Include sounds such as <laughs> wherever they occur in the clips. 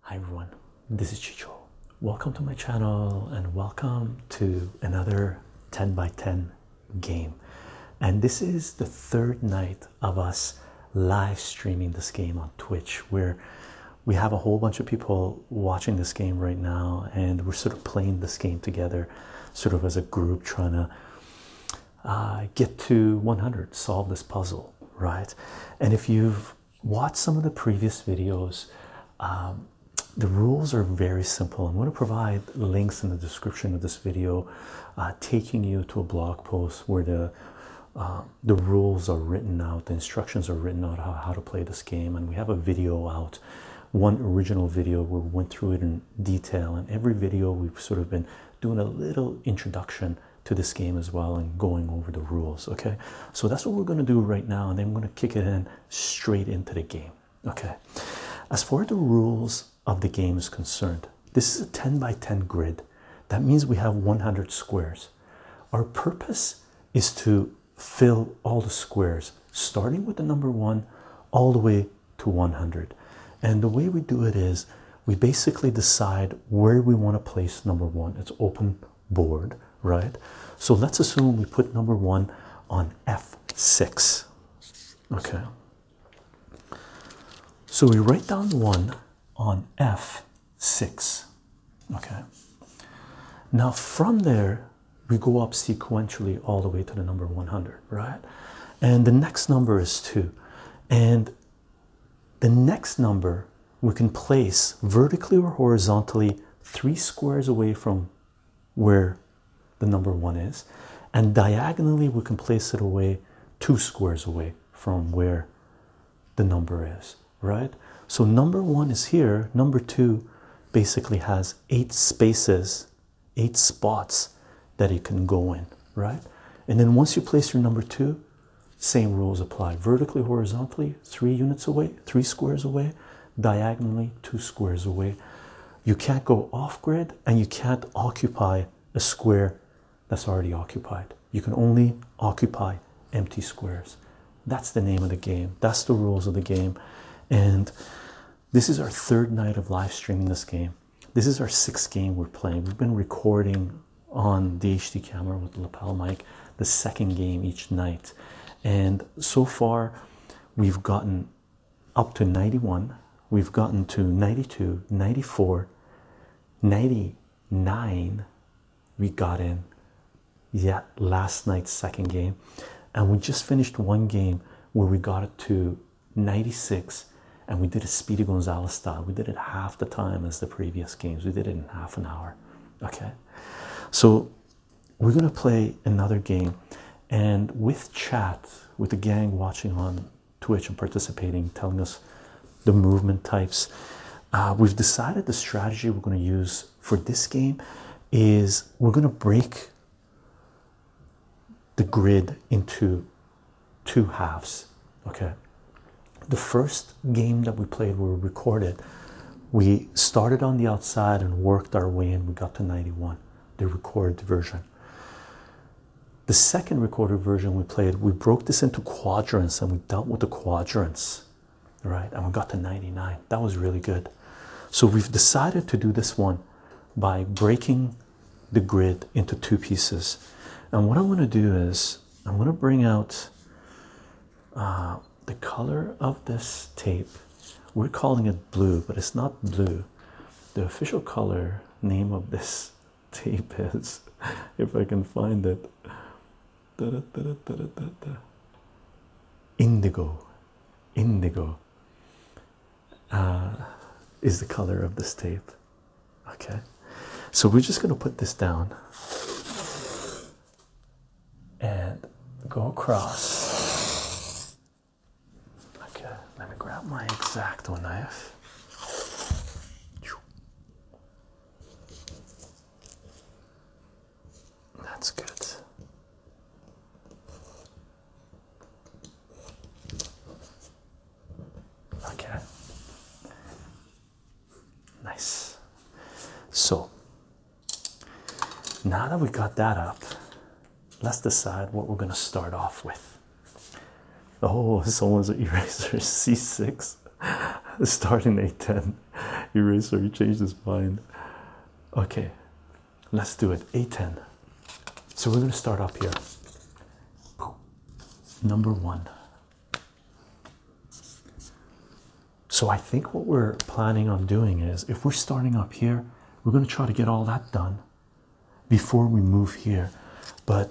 Hi everyone, this is Chicho. Welcome to my channel and welcome to another 10 by 10 game. And this is the third night of us live streaming this game on Twitch where we have a whole bunch of people watching this game right now and we're sort of playing this game together sort of as a group trying to uh, get to 100, solve this puzzle, right? And if you've watched some of the previous videos, um, the rules are very simple. I'm going to provide links in the description of this video, uh, taking you to a blog post where the uh, the rules are written out, the instructions are written out how, how to play this game, and we have a video out, one original video where we went through it and detail in every video we've sort of been doing a little introduction to this game as well and going over the rules okay so that's what we're going to do right now and then i'm going to kick it in straight into the game okay as far as the rules of the game is concerned this is a 10 by 10 grid that means we have 100 squares our purpose is to fill all the squares starting with the number one all the way to 100. And the way we do it is we basically decide where we want to place number one. It's open board, right? So let's assume we put number one on F6. Okay. So we write down one on F6. Okay. Now from there, we go up sequentially all the way to the number 100, right? And the next number is 2. And the next number we can place vertically or horizontally three squares away from where the number 1 is. And diagonally, we can place it away two squares away from where the number is, right? So number 1 is here, number 2 basically has eight spaces eight spots that it can go in, right? And then once you place your number two, same rules apply vertically, horizontally, three units away, three squares away, diagonally, two squares away. You can't go off grid and you can't occupy a square that's already occupied. You can only occupy empty squares. That's the name of the game, that's the rules of the game. And this is our third night of live streaming this game. This is our sixth game we're playing. We've been recording on the HD camera with the lapel mic the second game each night. And so far, we've gotten up to 91, we've gotten to 92, 94, 99. We got in yet yeah, last night's second game. And we just finished one game where we got to 96 and we did a Speedy Gonzalez style. We did it half the time as the previous games. We did it in half an hour. Okay. So we're going to play another game. And with chat, with the gang watching on Twitch and participating, telling us the movement types, uh, we've decided the strategy we're going to use for this game is we're going to break the grid into two halves. Okay, the first game that we played where we recorded, we started on the outside and worked our way in. We got to 91, the recorded version. The second recorded version we played, we broke this into quadrants and we dealt with the quadrants, right? And we got to 99. That was really good. So we've decided to do this one by breaking the grid into two pieces. And what I want to do is, I'm going to bring out uh, the color of this tape. We're calling it blue, but it's not blue. The official color name of this <laughs> tape is, <laughs> if I can find it, indigo. Indigo. Uh, is the color of this tape. Okay, so we're just going to put this down and go across. Okay, let me grab my exacto knife. That's good. Okay. Nice. So now that we got that up, let's decide what we're going to start off with. Oh, <laughs> someone's eraser C6 <laughs> starting A10. Eraser, he changed his mind. Okay, Let's do it. A10. So we're going to start up here. Number one. So I think what we're planning on doing is if we're starting up here, we're going to try to get all that done before we move here. But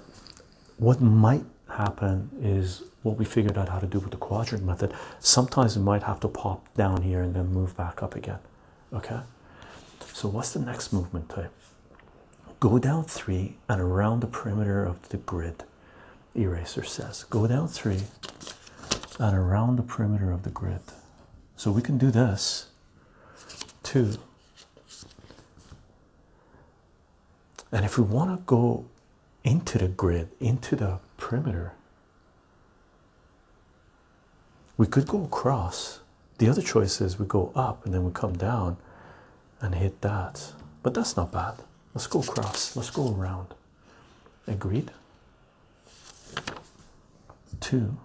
what might happen is what we figured out how to do with the quadrant method. Sometimes it might have to pop down here and then move back up again. Okay, so what's the next movement type? Go down three and around the perimeter of the grid, eraser says. Go down three and around the perimeter of the grid. So we can do this too. And if we want to go into the grid, into the perimeter, we could go across. The other choice is we go up and then we come down and hit that. But that's not bad. Let's go across. Let's go around. Agreed? Two,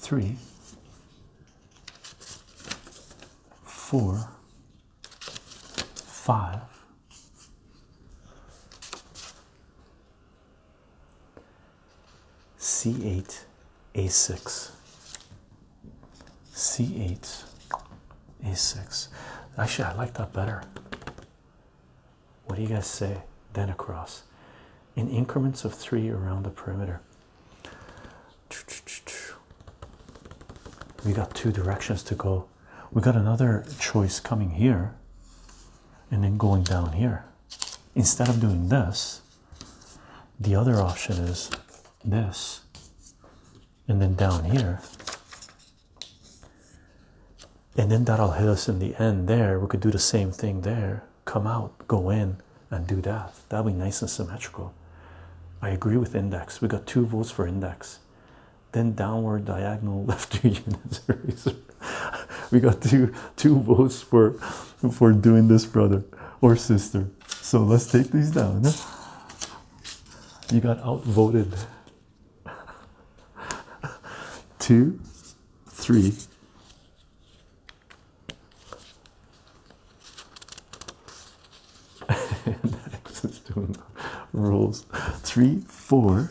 three, four, five, C8, A6, C8, A6. Actually, I like that better. What do you guys say? Then across in increments of three around the perimeter. We got two directions to go. We got another choice coming here and then going down here. Instead of doing this, the other option is this, and then down here, and then that'll hit us in the end. There, we could do the same thing there, come out, go in, and do that. That'll be nice and symmetrical. I agree with index, we got two votes for index. Then downward diagonal <laughs> left two units. <laughs> we got two two votes for for doing this, brother or sister. So let's take these down. You got outvoted. <laughs> Two, three. and <laughs> just doing rules. Three, four,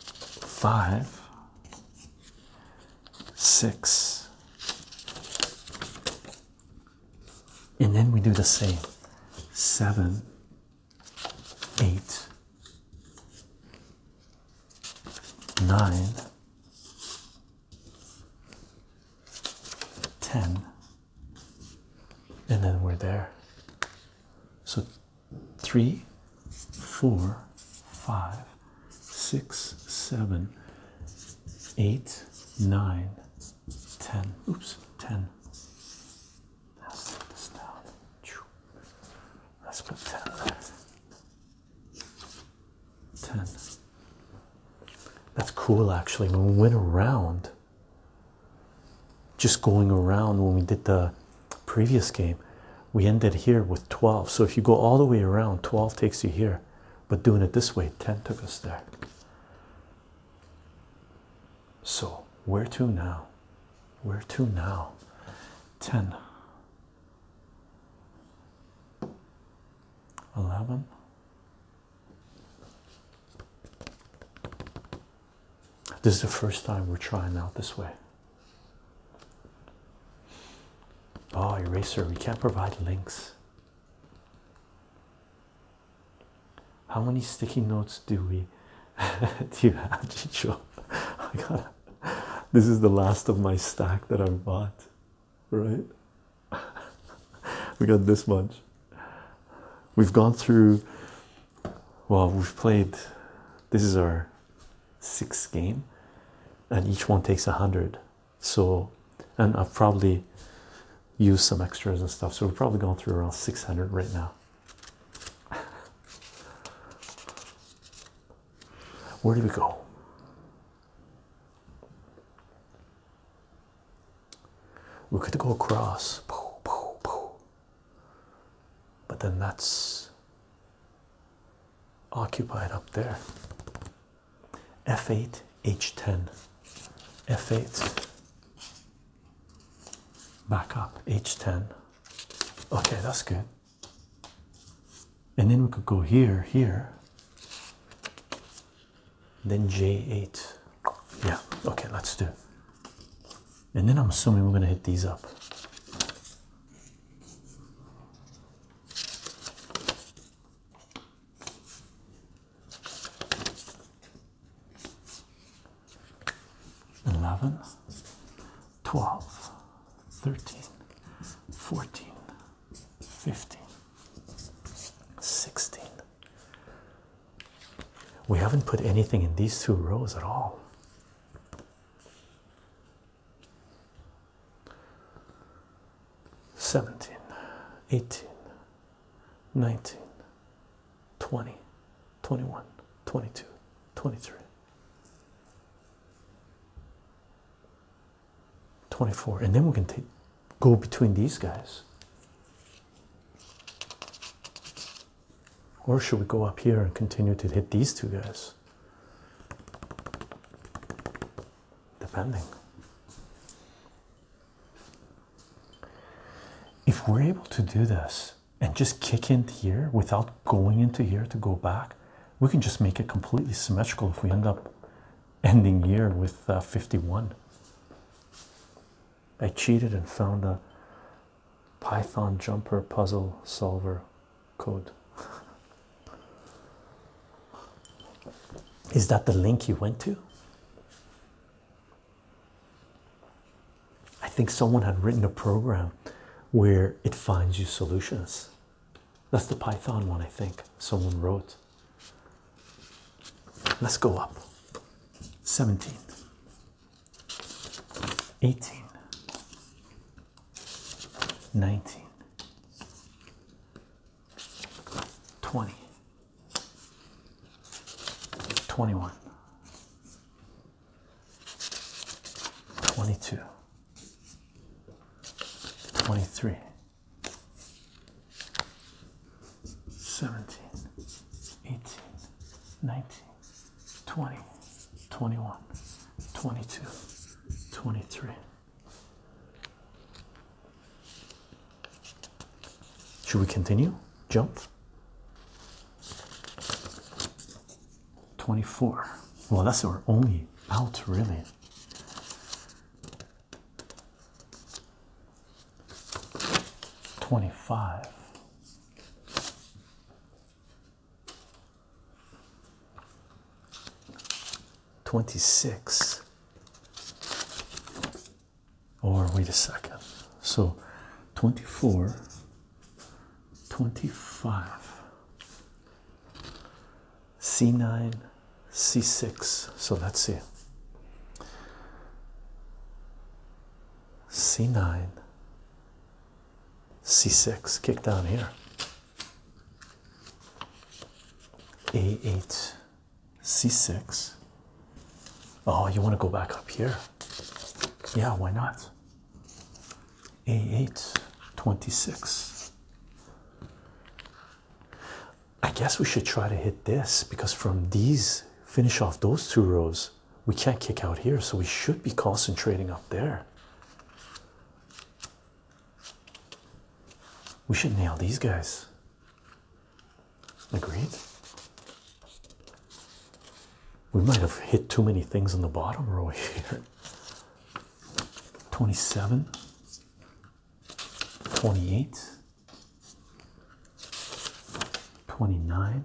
five, six, and then we do the same seven, eight, nine, ten, and then we're there. So three, four, five, six, seven, eight, nine, ten. Oops, ten. Let's take this down. Let's put ten there. Ten. That's cool actually. When we went around, just going around when we did the previous game we ended here with 12 so if you go all the way around 12 takes you here but doing it this way 10 took us there so where to now where to now 10 11 this is the first time we're trying out this way Oh, eraser, we can't provide links. How many sticky notes do we <laughs> do you have, Chicho? <laughs> I got this is the last of my stack that I bought, right? <laughs> we got this much. We've gone through, well, we've played, this is our six game and each one takes a hundred so and I've probably used some extras and stuff so we're probably going through around 600 right now <laughs> where do we go we could go across but then that's occupied up there. F8, H10, F8, back up, H10. Okay, that's good. And then we could go here, here, then J8. Yeah, okay, let's do it. And then I'm assuming we're going to hit these up. 11 12 13 14 15 16 we haven't put anything in these two rows at all 17 18 19 20 21 22 23 24 and then we can go between these guys or should we go up here and continue to hit these two guys depending. If we're able to do this and just kick in here without going into here to go back, we can just make it completely symmetrical if we end up ending here with uh, 51. I cheated and found a Python jumper puzzle solver code. Is that the link you went to? I think someone had written a program where it finds you solutions. That's the Python one, I think someone wrote. Let's go up 17, 18, 19 20 21 22 23 17 18 19 20, 21, 22, 23. Should we continue? Jump. 24. Well, that's our only out, really. Twenty-five, 26 or wait a second so 24 25 c9 c6 so let's see c9 c6 kick down here a8 c6 oh you want to go back up here yeah why not a8 26 i guess we should try to hit this because from these finish off those two rows we can't kick out here so we should be concentrating up there we should nail these guys. Agreed? We might have hit too many things in the bottom row <laughs> here. 27, 28, 29,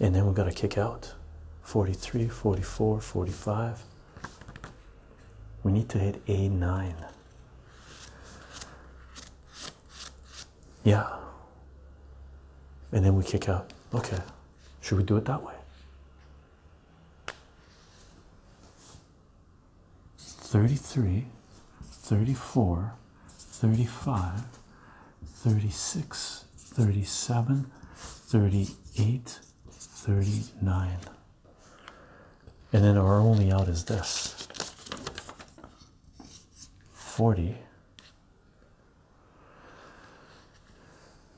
and then we're going to kick out 43 44 45 we need to hit a9 yeah and then we kick out okay should we do it that way 33 34 35 36, 37, 38, 39. And then our only out is this 40.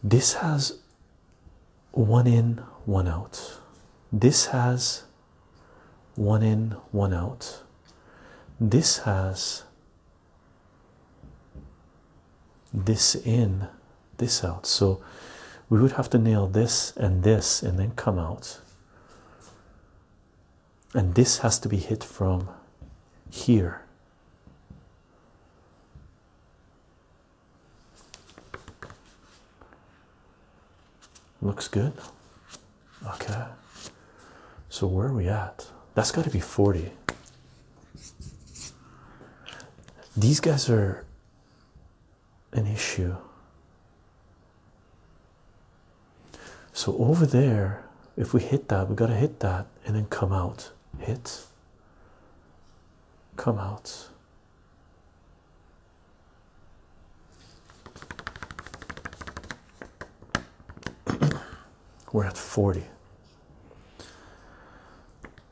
This has one in, one out. This has one in, one out. This has this in this out so we would have to nail this and this and then come out and this has to be hit from here looks good okay so where are we at that's got to be 40 these guys are an issue. So over there, if we hit that, we gotta hit that and then come out. Hit, come out. <clears throat> We're at 40.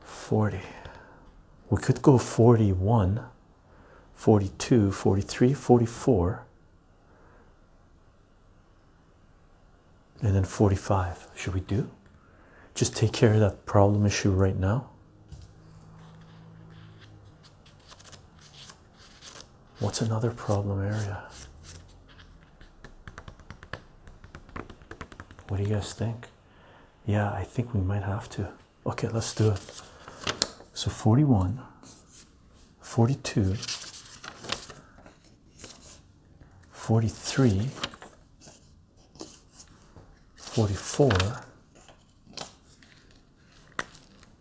40. We could go 41, 42, 43, 44, and then 45. Should we do? Just take care of that problem issue right now. What's another problem area? What do you guys think? Yeah, I think we might have to. Okay, let's do it. So 41, 42, 43, 44.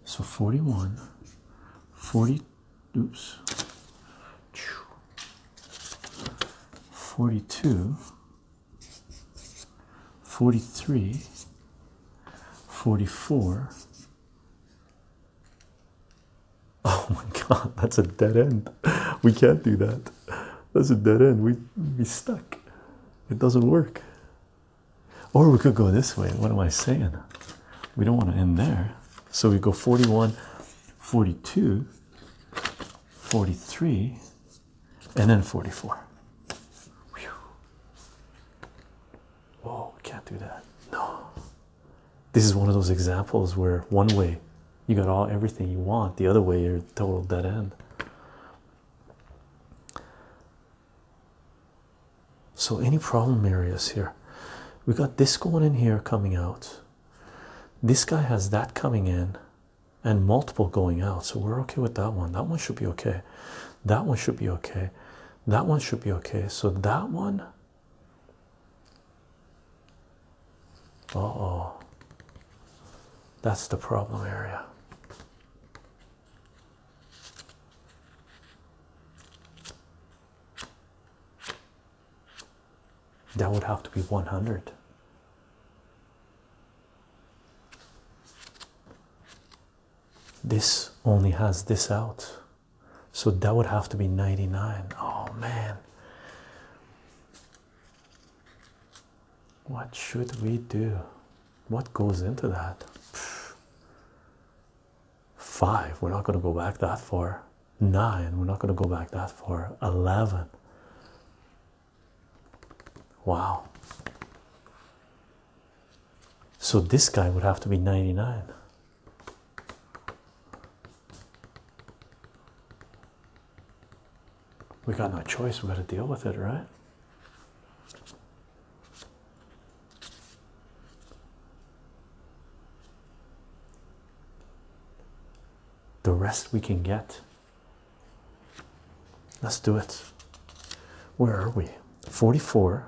So 41, 40, oops, 42, 43, 44. <laughs> Oh my god, that's a dead end. We can't do that. That's a dead end. We be stuck. It doesn't work. Or we could go this way. What am I saying? We don't want to end there. So we go 41, 42, 43 and then 44 Whoa! can't do that no this is one of those examples where one way you got all everything you want the other way you're total dead end so any problem areas here we got this going in here coming out this guy has that coming in and multiple going out, so we're okay with that one. That one should be okay. That one should be okay. That one should be okay. So that one. Uh oh. That's the problem area that would have to be 100 this only has this out so that would have to be 99 oh man what should we do what goes into that Five, we're not going to go back that far nine. We're not going to go back that far. 11. Wow. So this guy would have to be 99. We got no choice. We got to deal with it, right? the rest we can get. Let's do it. Where are we? 44,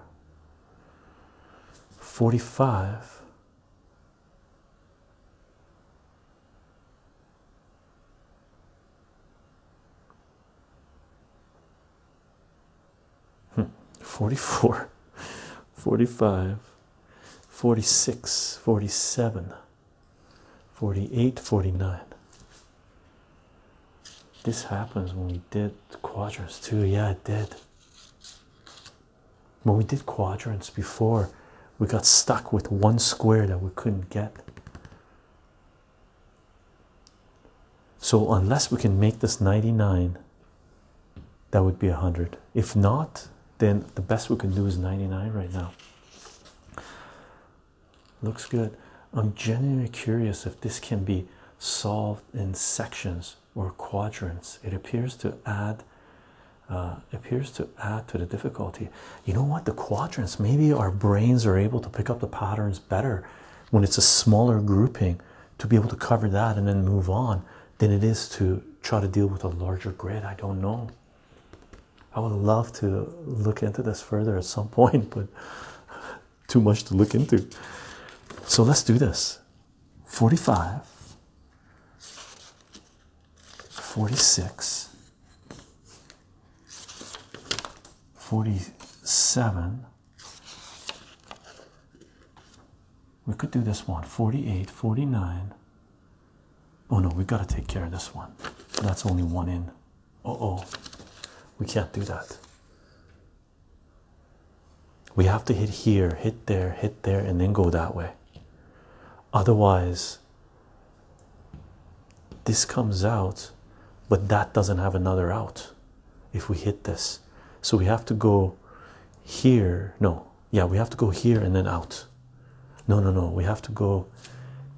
45, hmm. 44, <laughs> 45. 46, 47, 48, 49. This happens when we did quadrants too. Yeah, it did. When we did quadrants before, we got stuck with one square that we couldn't get. So, unless we can make this 99, that would be 100. If not, then the best we can do is 99 right now. Looks good. I'm genuinely curious if this can be solved in sections or quadrants. It appears to add uh, appears to add to the difficulty. You know what? The quadrants. Maybe our brains are able to pick up the patterns better when it's a smaller grouping to be able to cover that and then move on than it is to try to deal with a larger grid. I don't know. I would love to look into this further at some <laughs> point, but too much to look into. So let's do this 45, 46, 47. We could do this one 48, 49, Oh no, we got to take care of this one. That's only one in. Oh oh, we can't do that. We have to hit here, hit there, hit there, and then go that way. Otherwise, this comes out, but that doesn't have another out if we hit this. So we have to go here. No, yeah we have to go here and then out no no no we have to go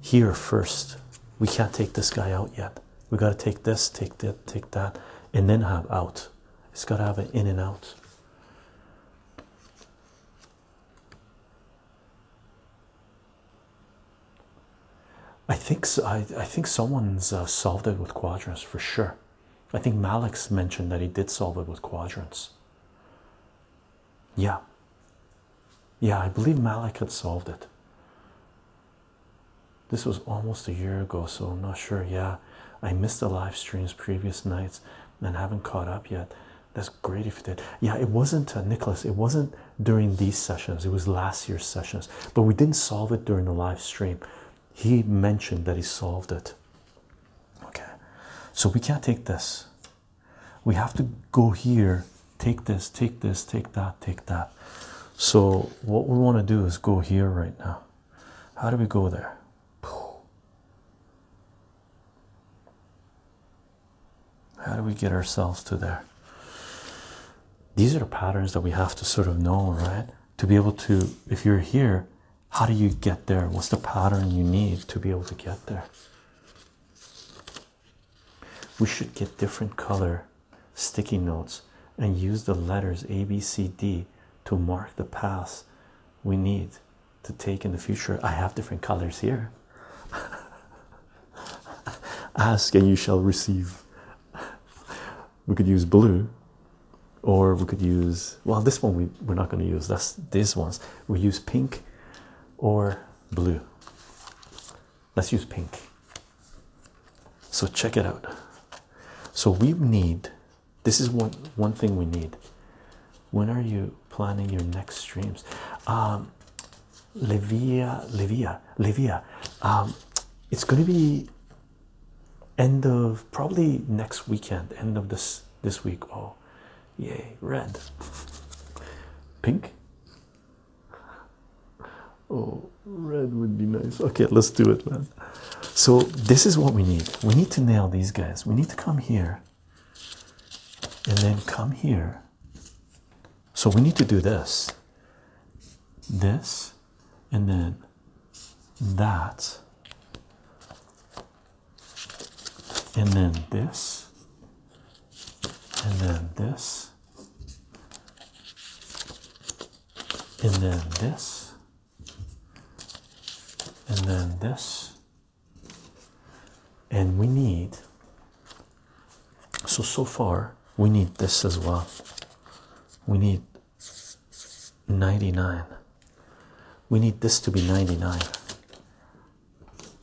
here first we can't take this guy out yet we got to take this take that take that and then have out it's got to have an in and out I think I, I think someone's uh, solved it with quadrants for sure. I think Malik mentioned that he did solve it with quadrants. Yeah. Yeah, I believe Malik had solved it. This was almost a year ago, so I'm not sure. Yeah, I missed the live streams previous nights and haven't caught up yet. That's great if you did. Yeah, it wasn't uh, Nicholas, it wasn't during these sessions, it was last year's sessions, but we didn't solve it during the live stream. He mentioned that he solved it. Okay, so we can't take this we have to go here take this take this take that take that so what we want to do is go here right now how do we go there how do we get ourselves to there these are the patterns that we have to sort of know right to be able to if you're here how do you get there? What's the pattern you need to be able to get there? We should get different color sticky notes and use the letters A, B, C, D to mark the paths we need to take in the future. I have different colors here. <laughs> Ask and you shall receive. We could use blue, or we could use well, this one we, we're not going to use. That's these ones. We use pink or blue. Let's use pink. So check it out. So we need this is one one thing we need. When are you planning your next streams? Um Levia Levia Levia. Um it's gonna be end of probably next weekend, end of this this week. Oh Yay, red. Pink. Oh, red would be nice. Okay, let's do it, man. So, this is what we need. We need to nail these guys. We need to come here and then come here. So, we need to do this, this, and then that, and then this, and then this, and then this, and then this. And we need, so, so far, we need this as well. We need 99. We need this to be 99.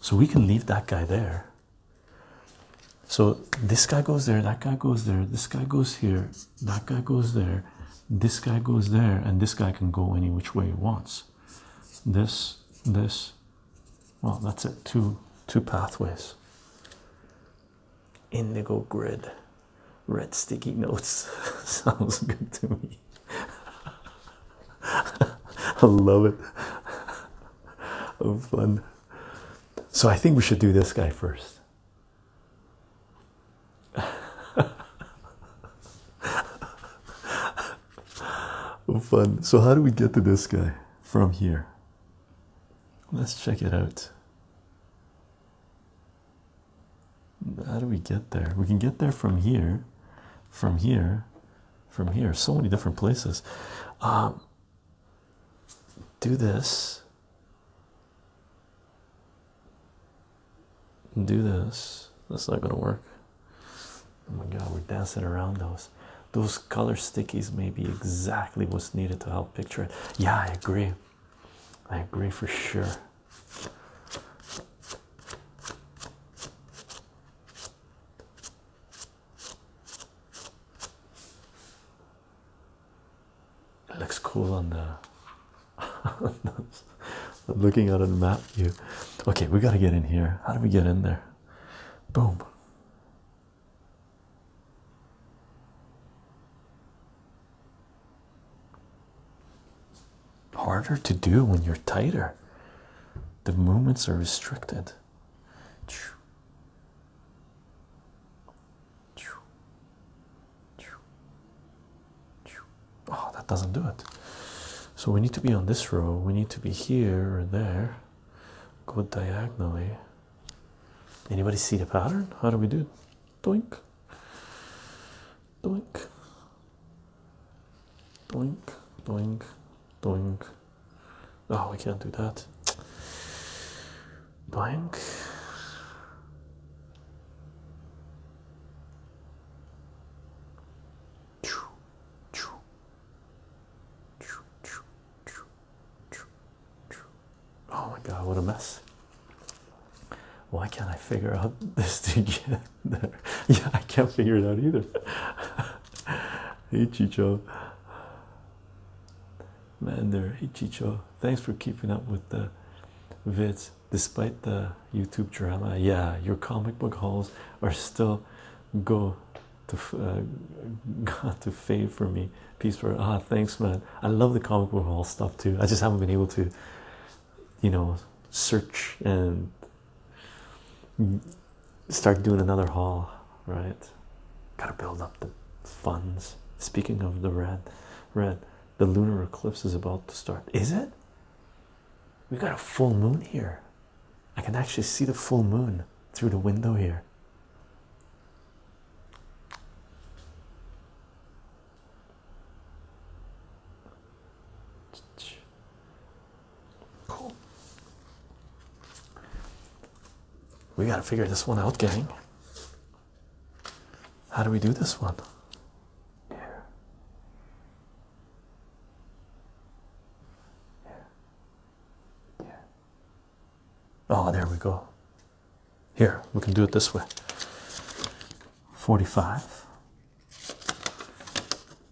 So we can leave that guy there. So this guy goes there, that guy goes there, this guy goes here, that guy goes there, this guy goes there, and this guy can go any which way he wants. This, this, well, that's it. Two, two pathways. Indigo grid, red sticky notes <laughs> sounds good to me. I love it. fun. So I think we should do this guy first. fun. So how do we get to this guy from here? Let's check it out. How do we get there? We can get there from here, from here, from here so many different places um, do this do this that's not gonna work oh my god we're dancing around those those color stickies may be exactly what's needed to help picture it yeah i agree i agree for sure it looks cool on the <laughs> looking at a map view. Okay, we got to get in here. How do we get in there? Boom harder to do when you're tighter. The movements are restricted. Oh, that doesn't do it. So we need to be on this row, we need to be here or there. Go diagonally. Anybody see the pattern? How do we do? Doink. Doink. Blink, blink, blink. Oh, we can't do that. Blank. Oh my god, what a mess. Why can't I figure out <laughs> this to get <laughs> Yeah, I can't figure it out either. hey, <laughs> Chicho. Man, there. Hey, Chicho. Thanks for keeping up with the vids despite the YouTube drama. Yeah, your comic book hauls are still go to uh, <laughs> to fade for me. Peace for ah, thanks, man. I love the comic book haul stuff too. I just haven't been able to you know search and start doing another haul right gotta build up the funds speaking of the red red the lunar eclipse is about to start is it we got a full moon here i can actually see the full moon through the window here Cool. We got to figure this one out, gang. How do we do this one? Yeah. Yeah. Oh, there we go. Here, we can do it this way 45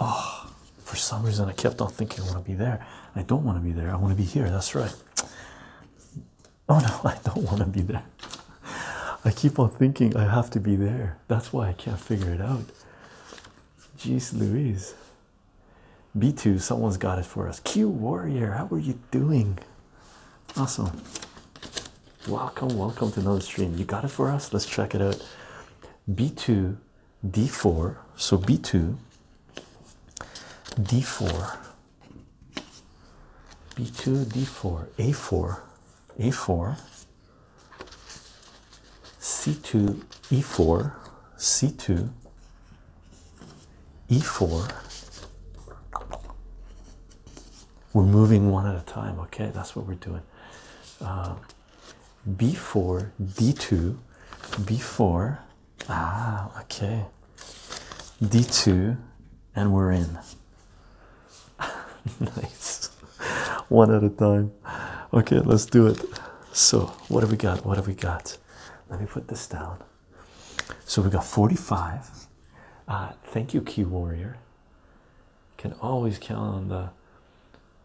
Oh, for some reason I kept on thinking I want to be there. I don't want to be there. I want to be here. That's right. Oh no, <laughs> I don't want to be there. I keep on thinking I have to be there. That's why I can't figure it out. Geez, Louise. B2, someone's got it for us. Q Warrior, how are you doing? Awesome. Welcome, welcome to another stream. You got it for us? Let's check it out. B2 d4 so b2 d4 b2 d4 a4 a4 c2 e4 c2 e4 we're moving one at a time okay that's what we're doing um, b4 d2 b4 ah okay d2 and we're in <laughs> nice one at a time okay let's do it so what have we got what have we got let me put this down so we got 45 uh, thank you key warrior can always count on the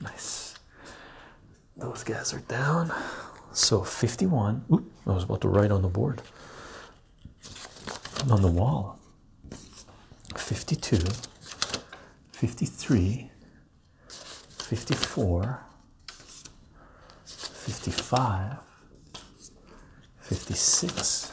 Nice. Those guys are down. So 51. Oop, I was about to write on the board. On the wall. 52. 53. 54. 55. 56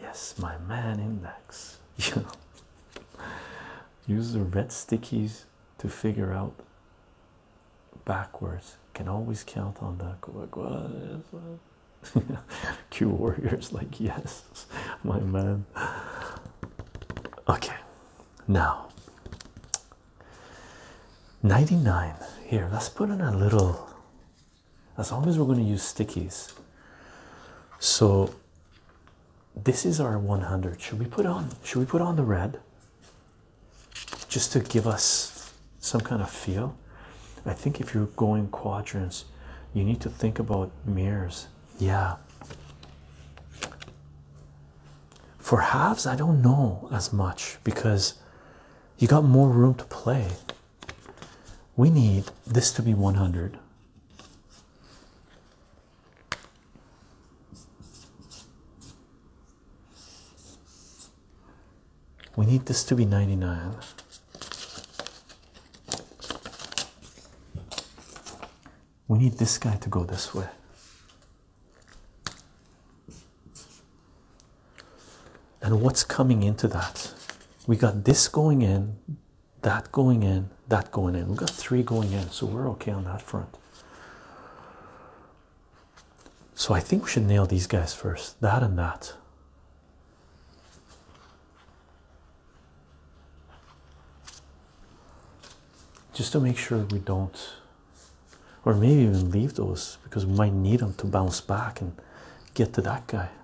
Yes, my man index. <laughs> You know, use the red stickies to figure out backwards. Can always count on that. <laughs> Q warriors, like, yes, <laughs> my man. Okay, now 99 here. Let's put in a little as long as we're going to use stickies. So this is our 100. Should we put on should we put on the red just to give us some kind of feel? I think if you're going quadrants, you need to think about mirrors. Yeah. For halves, I don't know as much because you got more room to play we need this to be 100 we need this to be 99 we need this guy to go this way and what's coming into that we got this going in that going in, that going in. We've got three going in, so we're okay on that front. So I think we should nail these guys first. That and that. Just to make sure we don't, or maybe even leave those because we might need them to bounce back and get to that guy.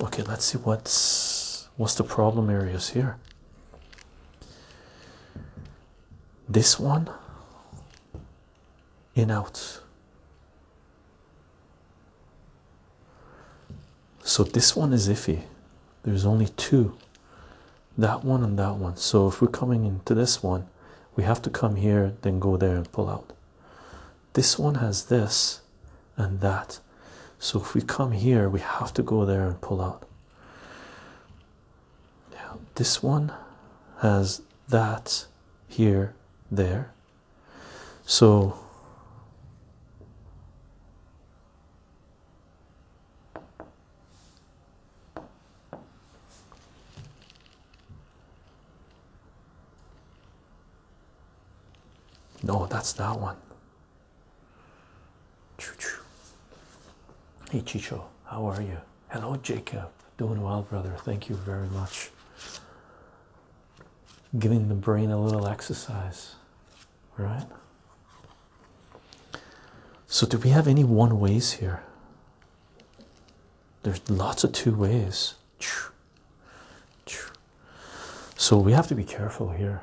okay let's see what's what's the problem areas here this one in out so this one is iffy there's only two that one and that one so if we're coming into this one we have to come here then go there and pull out this one has this and that so if we come here we have to go there and pull out now this one has that here there so no that's that one Hey Chicho, how are you? Hello, Jacob. Doing well, brother. Thank you very much. Giving the brain a little exercise, All right? So, do we have any one ways here? There's lots of two ways. So, we have to be careful here.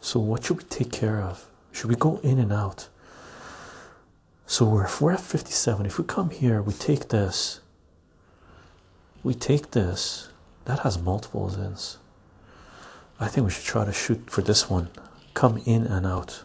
So, what should we take care of? Should we go in and out? So, we're, if we 57, if we come here, we take this, we take this, that has multiples in. I think we should try to shoot for this one. Come in and out.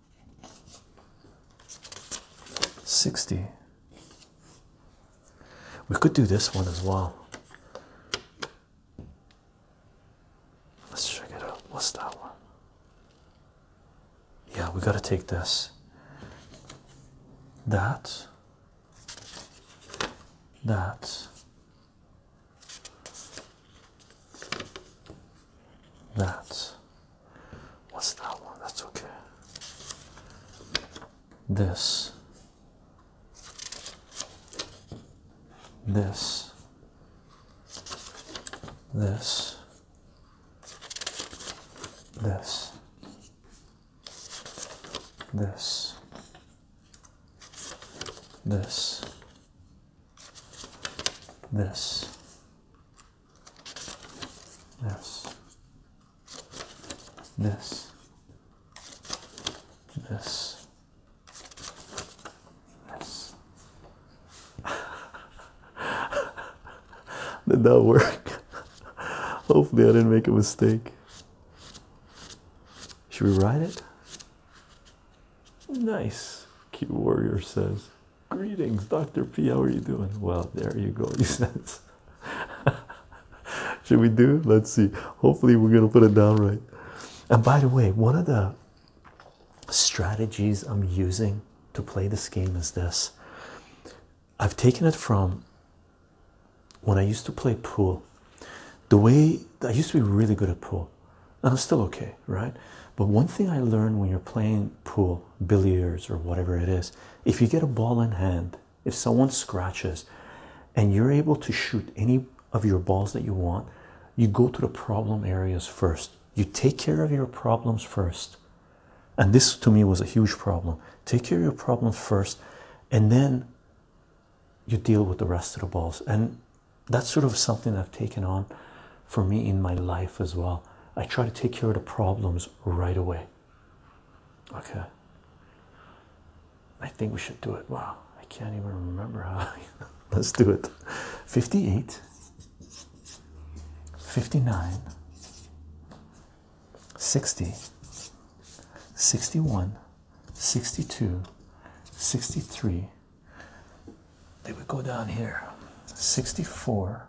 60 we could do this one as well let's check it out what's that one yeah we got to take this that that that. What's that one? That's okay. This. This. This. This. This. This. This. This. This. This. This. <laughs> Did that work? <laughs> Hopefully, I didn't make a mistake. Should we write it? Nice. Cute warrior says. Greetings, Dr. P. How are you doing? Well, there you go, You <laughs> said, Should we do? Let's see. Hopefully, we're going to put it down right. And by the way, one of the strategies I'm using to play this game is this I've taken it from when I used to play pool. The way I used to be really good at pool, and I'm still okay, right? But one thing I learned when you're playing pool, billiards, or whatever it is, if you get a ball in hand, if someone scratches and you're able to shoot any of your balls that you want, you go to the problem areas first. You take care of your problems first. And this to me was a huge problem. Take care of your problem first, and then you deal with the rest of the balls. And that's sort of something I've taken on for me in my life as well. I try to take care of the problems right away. Okay. I think we should do it. Wow, I can't even remember how. <laughs> Let's do it. 58, 59, 60, 61, 62, 63. Then we go down here. 64,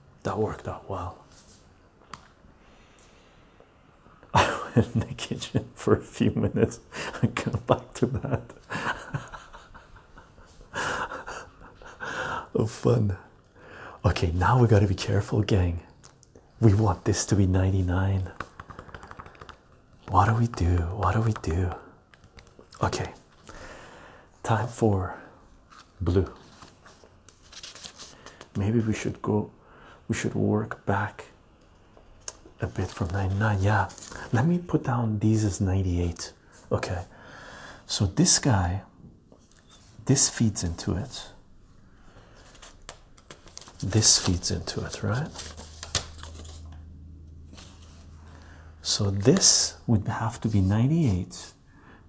That worked out well. <laughs> I went in the kitchen for a few minutes and got back to that. <laughs> oh, fun. Okay, now we gotta be careful, gang. We want this to be 99. What do we do? What do we do? Okay, time for blue maybe we should go we should work back a bit from 99 yeah let me put down these as 98 okay so this guy this feeds into it this feeds into it right so this would have to be 98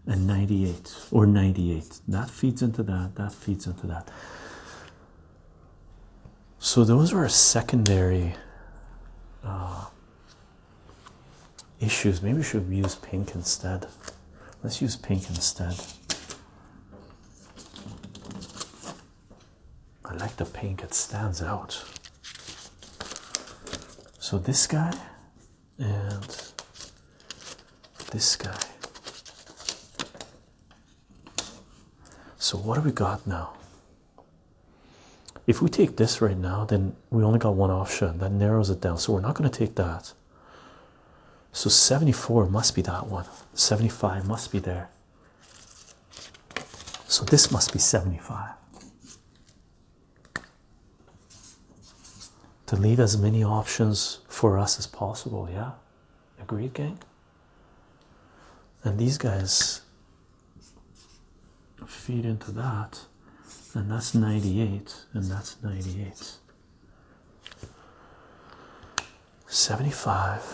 98 and 98 or 98 that feeds into that that feeds into that so those were secondary uh, issues maybe we should use pink instead let's use pink instead I like the pink it stands out so this guy and this guy. So, what do we got now? If we take this right now, then we only got one option that narrows it down. So, we're not going to take that. So, 74 must be that one, 75 must be there. So, this must be 75 to leave as many options for us as possible. Yeah, agreed, gang. And these guys feed into that, and that's 98, and that's 98. 75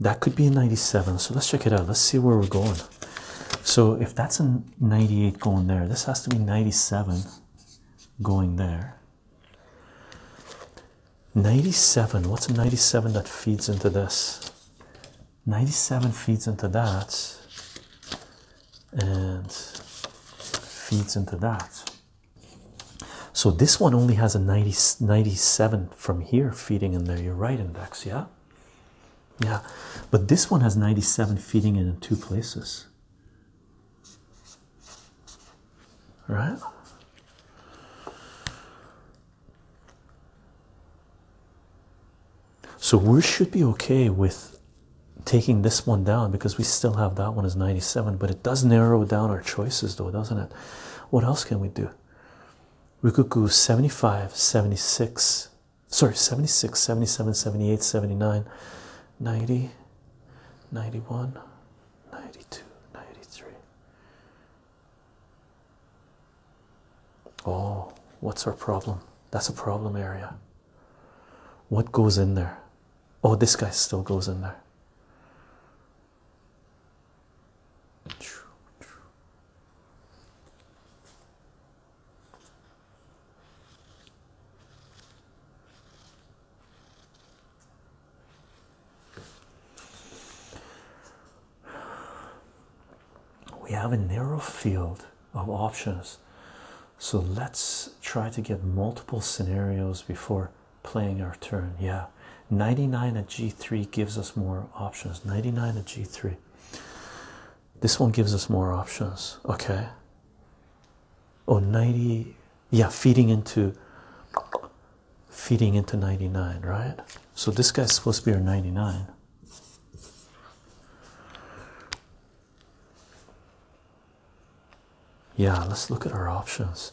that could be a 97 so let's check it out let's see where we're going so if that's a 98 going there this has to be 97 going there 97 what's a 97 that feeds into this 97 feeds into that and feeds into that so this one only has a 90, 97 from here feeding in there. You're right, index, yeah? Yeah, but this one has 97 feeding in in two places. Right? So we should be okay with taking this one down because we still have that one as 97, but it does narrow down our choices though, doesn't it? What else can we do? We could go 75, 76, sorry, 76, 77, 78, 79, 90, 91, 92, 93. Oh, what's our problem? That's a problem area. What goes in there? Oh, this guy still goes in there. We have a narrow field of options, so let's try to get multiple scenarios before playing our turn yeah 99 at g3 gives us more options 99 at g3 this one gives us more options okay oh 90 yeah feeding into feeding into 99 right so this guy's supposed to be our 99 yeah let's look at our options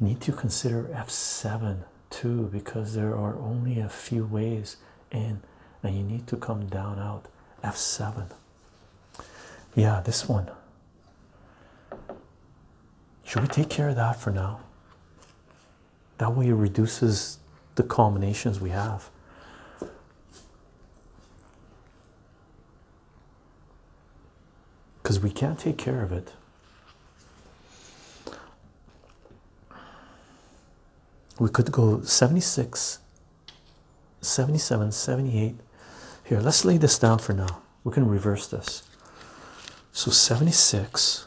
Need to consider F7 too because there are only a few ways in, and you need to come down out F7. Yeah, this one. Should we take care of that for now? That way it reduces the combinations we have. Because we can't take care of it. We could go 76, 77, 78. Here, let's lay this down for now. We can reverse this. So 76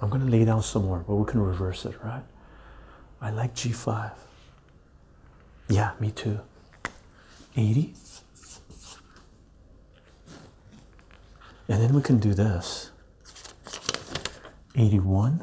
I'm going to lay down some more, but we can reverse it, right? I like G5. Yeah, me too. 80. And then we can do this 81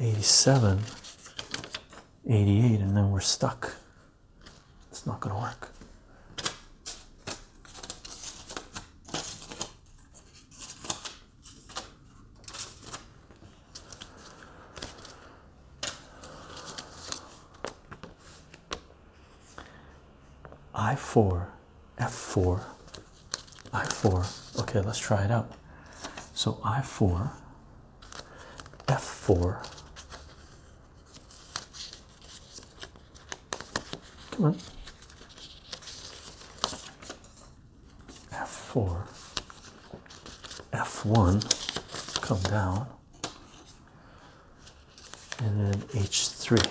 87, 88, and then we're stuck. It's not going to work. I4, F4, i4 okay let's try it out so i4 f4 come on f4 f1 come down and then h3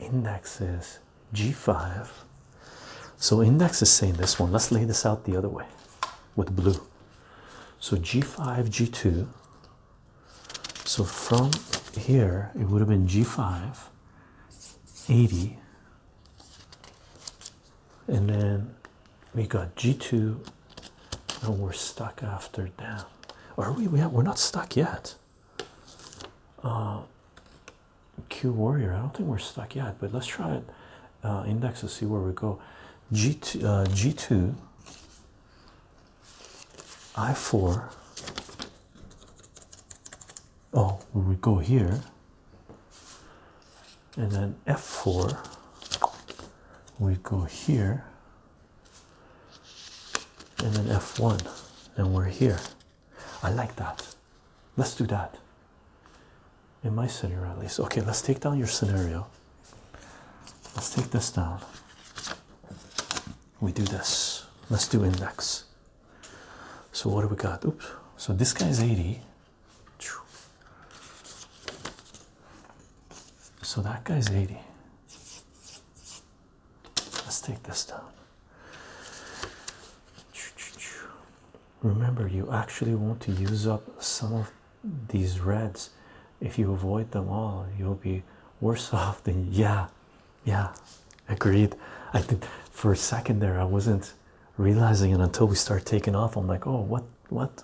Index is G5. So index is saying this one. Let's lay this out the other way with blue. So G5, G2. So from here, it would have been G5, 80, and then we got G2 and we're stuck after that. Are we? We we're not stuck yet. Uh, Q Warrior. I don't think we're stuck yet, but let's try it. Uh, index to see where we go. G2, uh, I4. Oh, we go here and then f4 we go here and then f1 and we're here i like that let's do that in my scenario at least okay let's take down your scenario let's take this down we do this let's do index so what do we got oops so this guy's 80 so that guy's 80. Let's take this down. Remember, you actually want to use up some of these reds. If you avoid them all, you'll be worse <laughs> off than yeah, yeah, agreed. I think for a second there, I wasn't realizing it until we start taking off. I'm like, oh, what, what?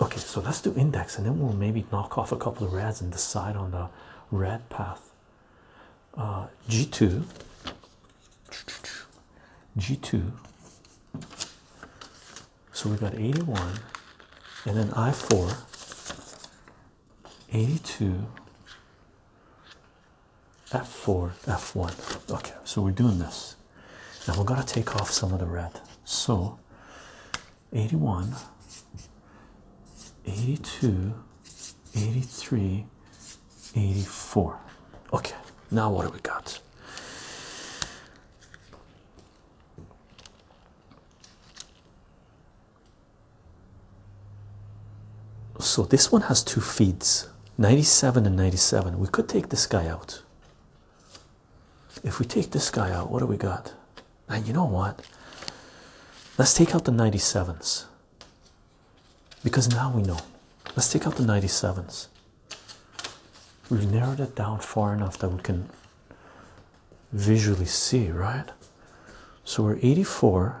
Okay, so let's do index, and then we'll maybe knock off a couple of reds and decide on the red path. G2, uh, G2. So we got 81, and then I4, 82, f4 f1 okay so we're doing this now we're going to take off some of the red so 81 82 83 84 okay now what do we got so this one has two feeds 97 and 97. We could take this guy out. If we take this guy out, what do we got? And you know what? Let's take out the 97s. Because now we know. Let's take out the 97s. We've narrowed it down far enough that we can visually see, right? So we're 84.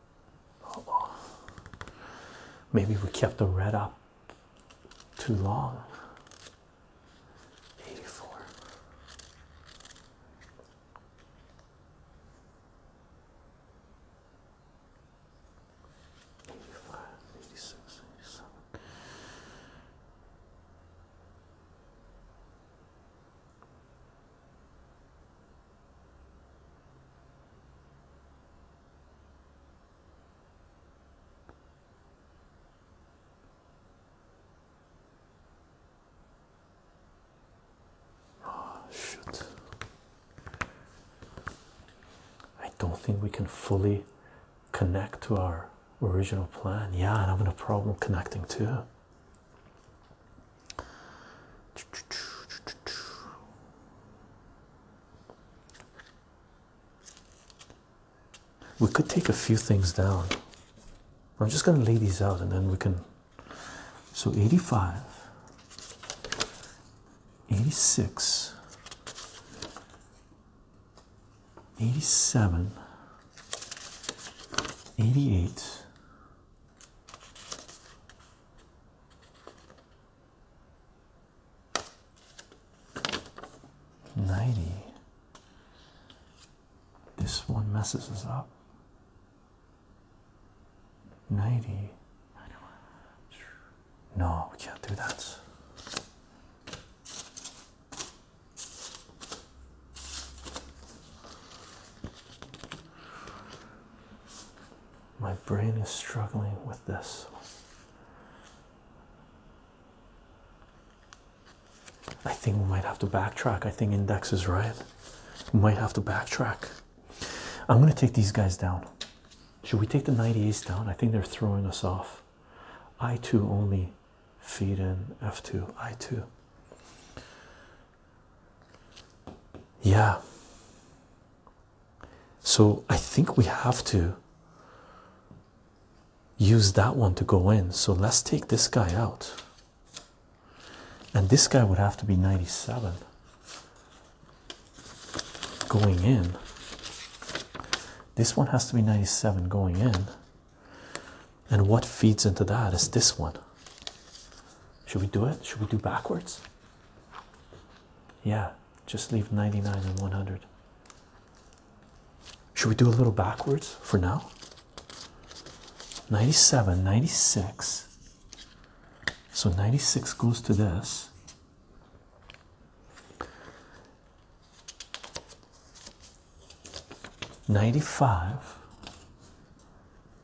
maybe we kept the red up too long. 84. Eighty-five, eighty-six, eighty-seven. Oh, shoot. I don't think we can fully connect to our original plan. Yeah, I'm having a problem connecting too. We could take a few things down. I'm just going to lay these out and then we can. So 85, 86, 87, 88, 90. This one messes us up. 90. No, we can't do that. My brain is struggling with this. I think we might have to backtrack. I think Index is right. We might have to backtrack. I'm going to take these guys down. Should we take the 98s down? I think they're throwing us off. I2 only. Feed in F2. I2 yeah so i think we have to use that one to go in so let's take this guy out and this guy would have to be 97 going in this one has to be 97 going in and what feeds into that is this one should we do it should we do backwards yeah, just leave 99 and 100. Should we do a little backwards for now? 97, 96. So 96 goes to this. Ninety five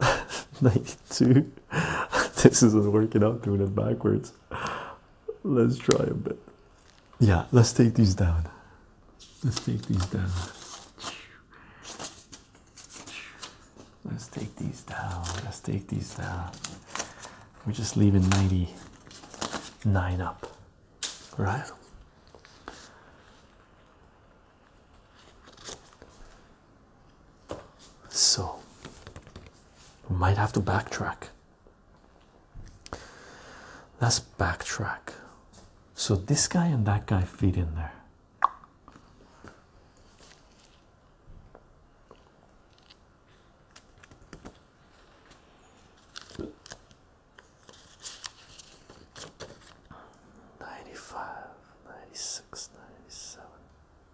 <laughs> 92. <laughs> this isn't working out doing it backwards. Let's try a bit. Yeah, let's take these down. Let's take these down. Let's take these down. Let's take these down. We're just leaving 99 up, right? So, we might have to backtrack. Let's backtrack. So, this guy and that guy feed in there. Ninety five, ninety six, ninety seven.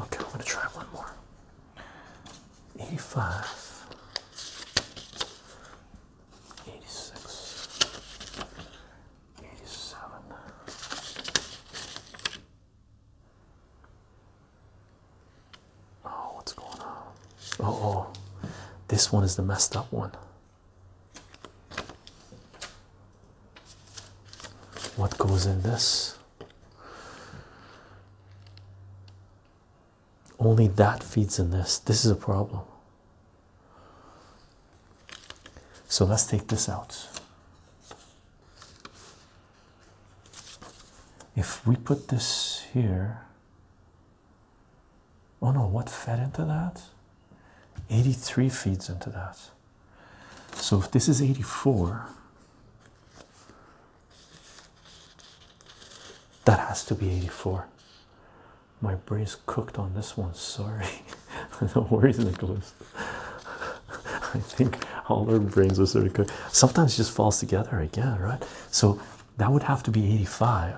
Okay, I'm gonna try one more. 85 86 87 Oh, what's going on? Oh, oh, this one is the messed up one what goes in this. Only that feeds in this. This is a problem. So let's take this out. If we put this here, oh no, what fed into that? 83 feeds into that. So if this is 84, that has to be 84. My brain's cooked on this one, sorry. <laughs> no worries, Nicholas. <laughs> I think all our brains are sort of cooked. Sometimes just falls together again, right? So that would have to be 85.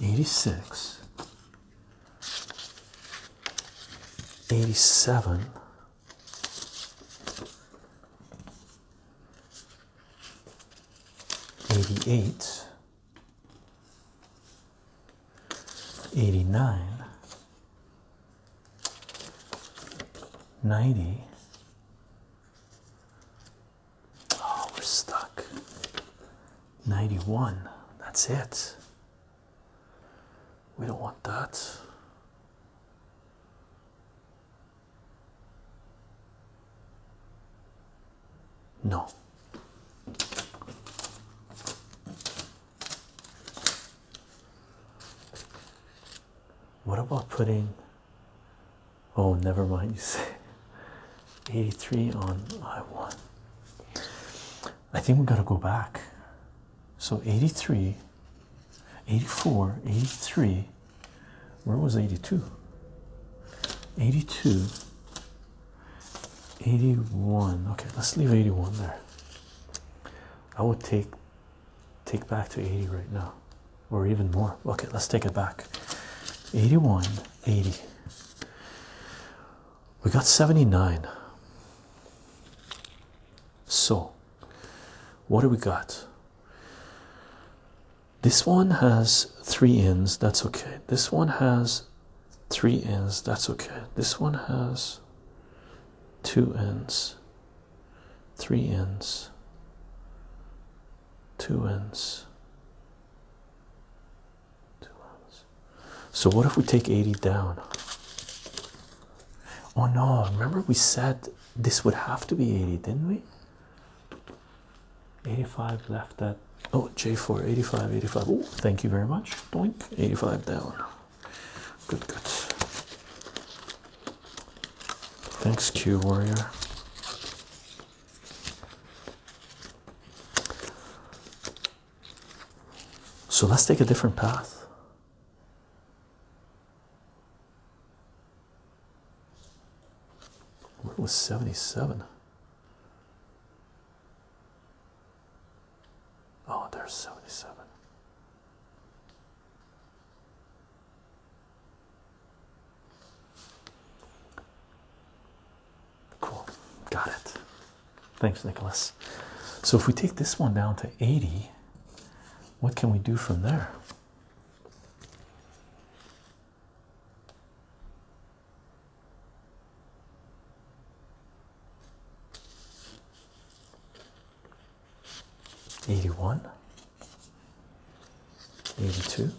86 87 88 89 90 Oh, we're stuck. 91. That's it. We don't want that. No. What about putting Oh, never mind, 83 on I1. I think we gotta go back. So 83, 84, 83. Where was 82? 82, 81. Okay, let's leave 81 there. I would take take back to 80 right now or even more. Okay, let's take it back. 81, 80. We got 79. So, what do we got? This one has three ends, that's okay. This one has three ends, that's okay. This one has two ends, three ends, two ends two ends so what if we take 80 down oh no remember we said this would have to be 80 didn't we 85 left at oh j4 85 85 oh thank you very much doink 85 down good good thanks q warrior so let's take a different path. Where was 77? Oh, there's 77. Cool, got it. Thanks, Nicholas. So, if we take this one down to 80, what can we do from there? Eighty one, 82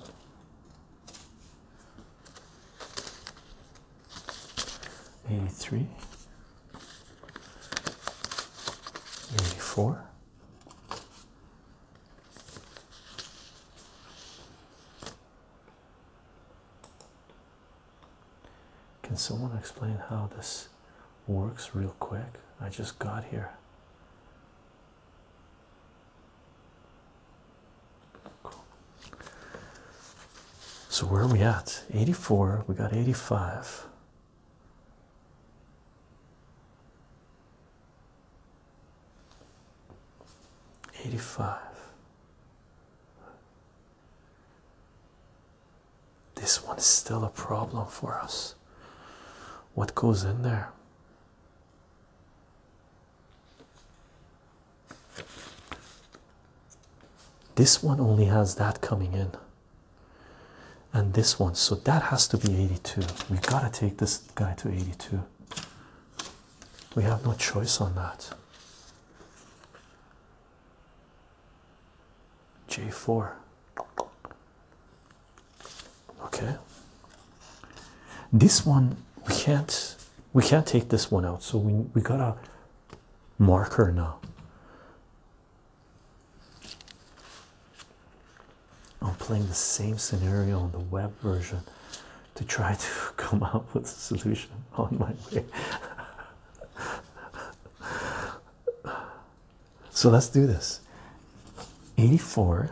83 84 Can someone explain how this works real quick? I just got here. So where are we at? 84, we got 85. Eighty five. This one is still a problem for us. What goes in there? This one only has that coming in, and this one, so that has to be 82. We gotta take this guy to 82. We have no choice on that. J4 okay this one we can't we can't take this one out so we, we got a marker now i'm playing the same scenario on the web version to try to <laughs> come up with a solution on my way <laughs> so let's do this 84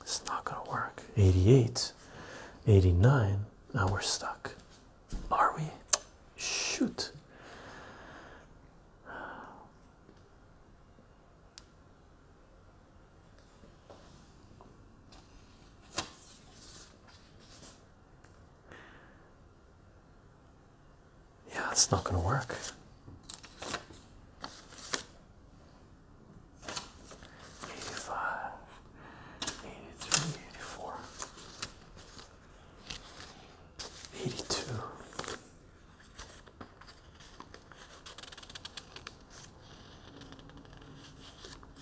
It's not gonna work. 88, 89. Now we're stuck. Are we? Shoot. Yeah, it's not going to work. 85, 82,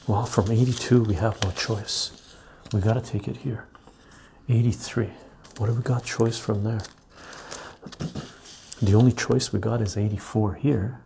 well, from 82, we have no choice. We got to take it here. 83. What do we got choice from there? <clears throat> the only choice we got is 84 here.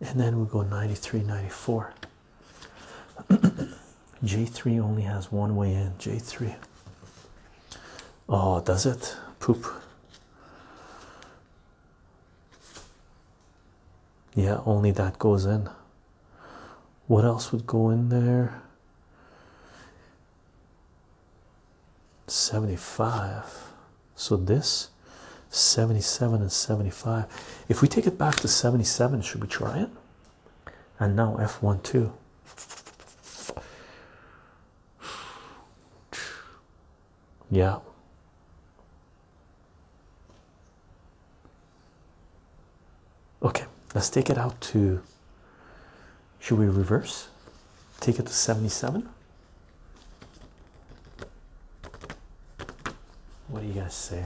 and then we go 93 94 <clears throat> j3 only has one way in j3 oh does it poop yeah only that goes in what else would go in there 75 so this 77 and 75 if we take it back to 77 should we try it and now f one two. yeah okay let's take it out to should we reverse take it to 77 what do you guys say?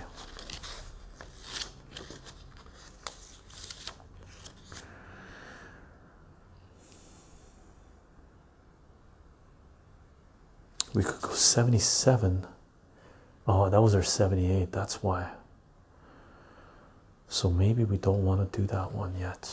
We could go 77. Oh, that was our 78. That's why. So maybe we don't want to do that one yet.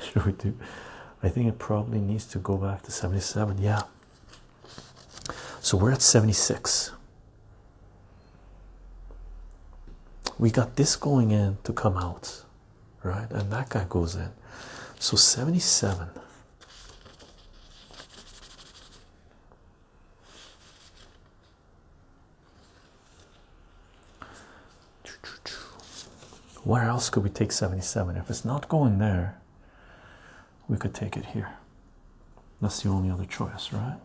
should <laughs> we do? I think it probably needs to go back to 77. Yeah. So we're at 76. We got this going in to come out, right? And that guy goes in. So 77. Where else could we take 77? If it's not going there, we could take it here. That's the only other choice, right?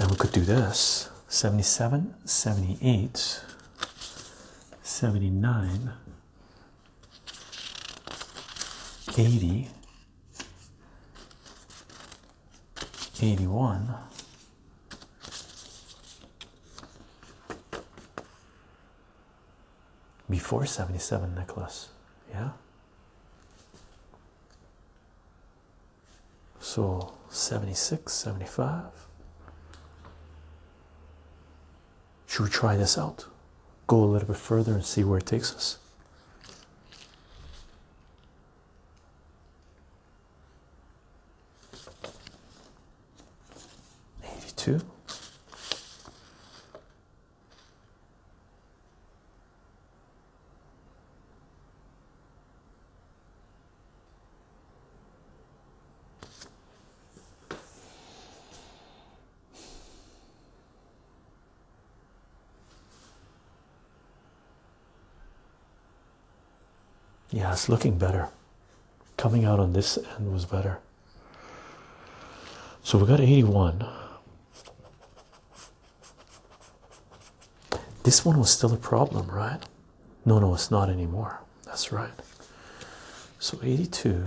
And we could do this 77, 78, 79, 80, 81 before 77 Nicholas yeah so 76 75 should we try this out go a little bit further and see where it takes us 82 yeah, it's looking better. Coming out on this end was better. So we got 81. This one was still a problem, right? No, no, it's not anymore. That's right. So 82.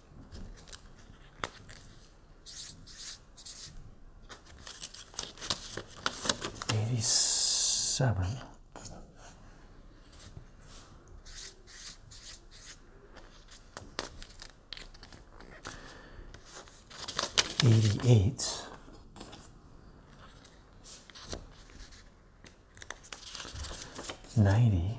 Eighty-seven. Eighty-eight. Ninety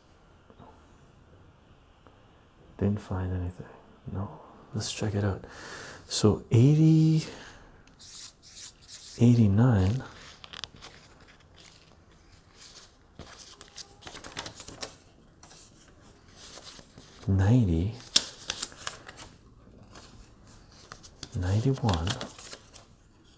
Didn't find anything. No, let's check it out. So 80 89 90 91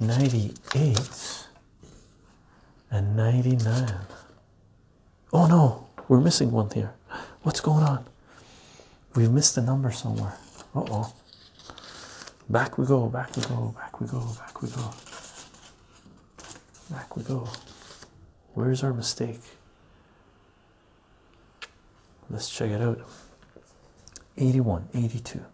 98 and 99 oh no we're missing one here what's going on we've missed a number somewhere uh-oh back we go back we go back we go back we go back we go where's our mistake let's check it out 81 82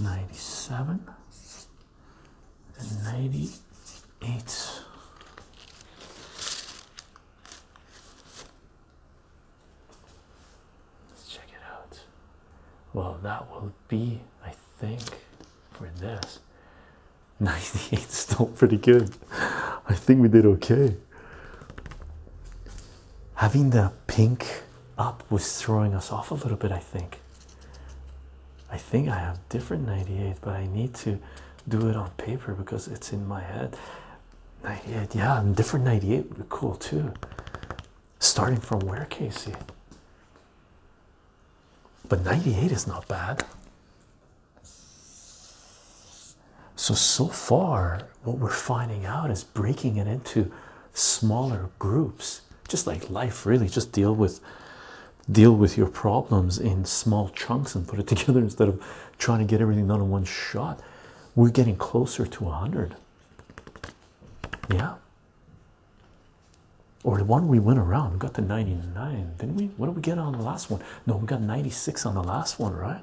97 and 98 Let's check it out. Well, that will be, I think, for this <laughs> 98 still pretty good. I think we did okay. Having the pink up was throwing us off a little bit, I think. I think I have different 98, but I need to do it on paper because it's in my head. 98, yeah, different 98 would be cool too. Starting from where, Casey? But 98 is not bad. So, so far, what we're finding out is breaking it into smaller groups, just like life, really. Just deal with deal with your problems in small chunks and put it <laughs> together instead of trying to get everything done in one shot. We're getting closer to 100. Yeah. Or the one we went around, got to 99, didn't we? What did we get on the last one? No, we got 96 on the last one, right?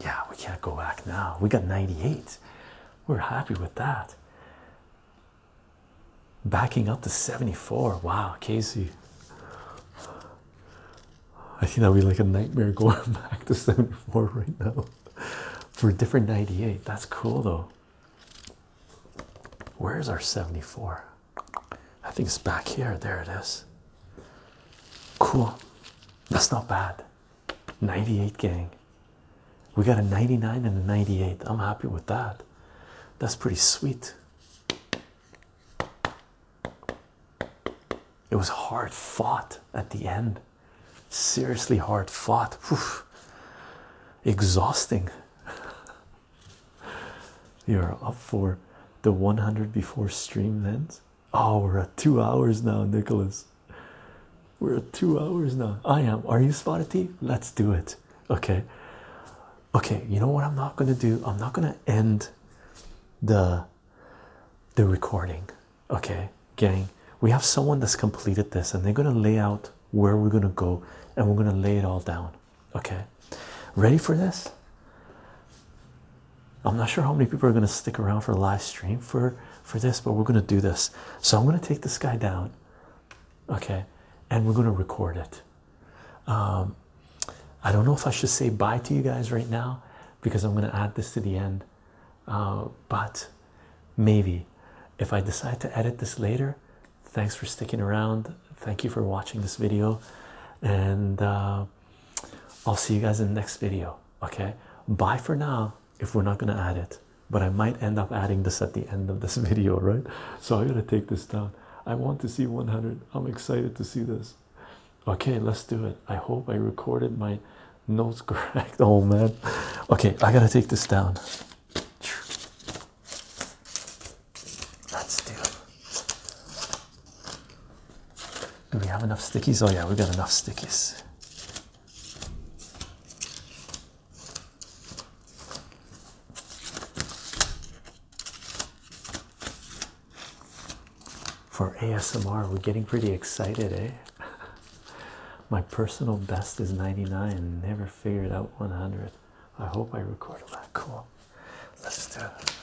Yeah, we can't go back now. We got 98. We're happy with that. Backing up to 74. Wow, Casey. I think that'd be like a nightmare <laughs> going back to 74 right now for a different 98. That's cool though. Where's our 74? I think it's back here. There it is. Cool. That's not bad. 98 gang. We got a 99 and a 98. I'm happy with that. That's pretty sweet. It was hard fought at the end. Seriously hard fought. Oof. Exhausting. <laughs> You're up for the 100 before stream ends. Oh, we're at two hours now, Nicholas. We're at two hours now. I am. Are you spotted T? Let's do it. Okay. Okay, you know what I'm not gonna do? I'm not gonna end the the recording. Okay, gang. We have someone that's completed this and they're gonna lay out where we're gonna go and we're gonna lay it all down. Okay. Ready for this? I'm not sure how many people are going to stick around for a live stream for for this, but we're going to do this. So I'm going to take this guy down, okay, and we're going to record it. Um, I don't know if I should say bye to you guys right now because I'm going to add this to the end, uh, but maybe if I decide to edit this later. Thanks for sticking around. Thank you for watching this video, and. Uh, I'll see you guys in the next video. Okay, bye for now. If we're not gonna add it, but I might end up adding this at the end of this <laughs> video, right? So I gotta take this down. I want to see 100. I'm excited to see this. Okay, let's do it. I hope I recorded my nose <laughs> correct. Oh man, okay, I gotta take this down. Let's do do we have enough stickies? Oh, yeah, we have got enough stickies. For ASMR, we're getting pretty excited, eh? <laughs> My personal best is 99, never figured out 100. I hope I record a lot. Cool. Let's do it.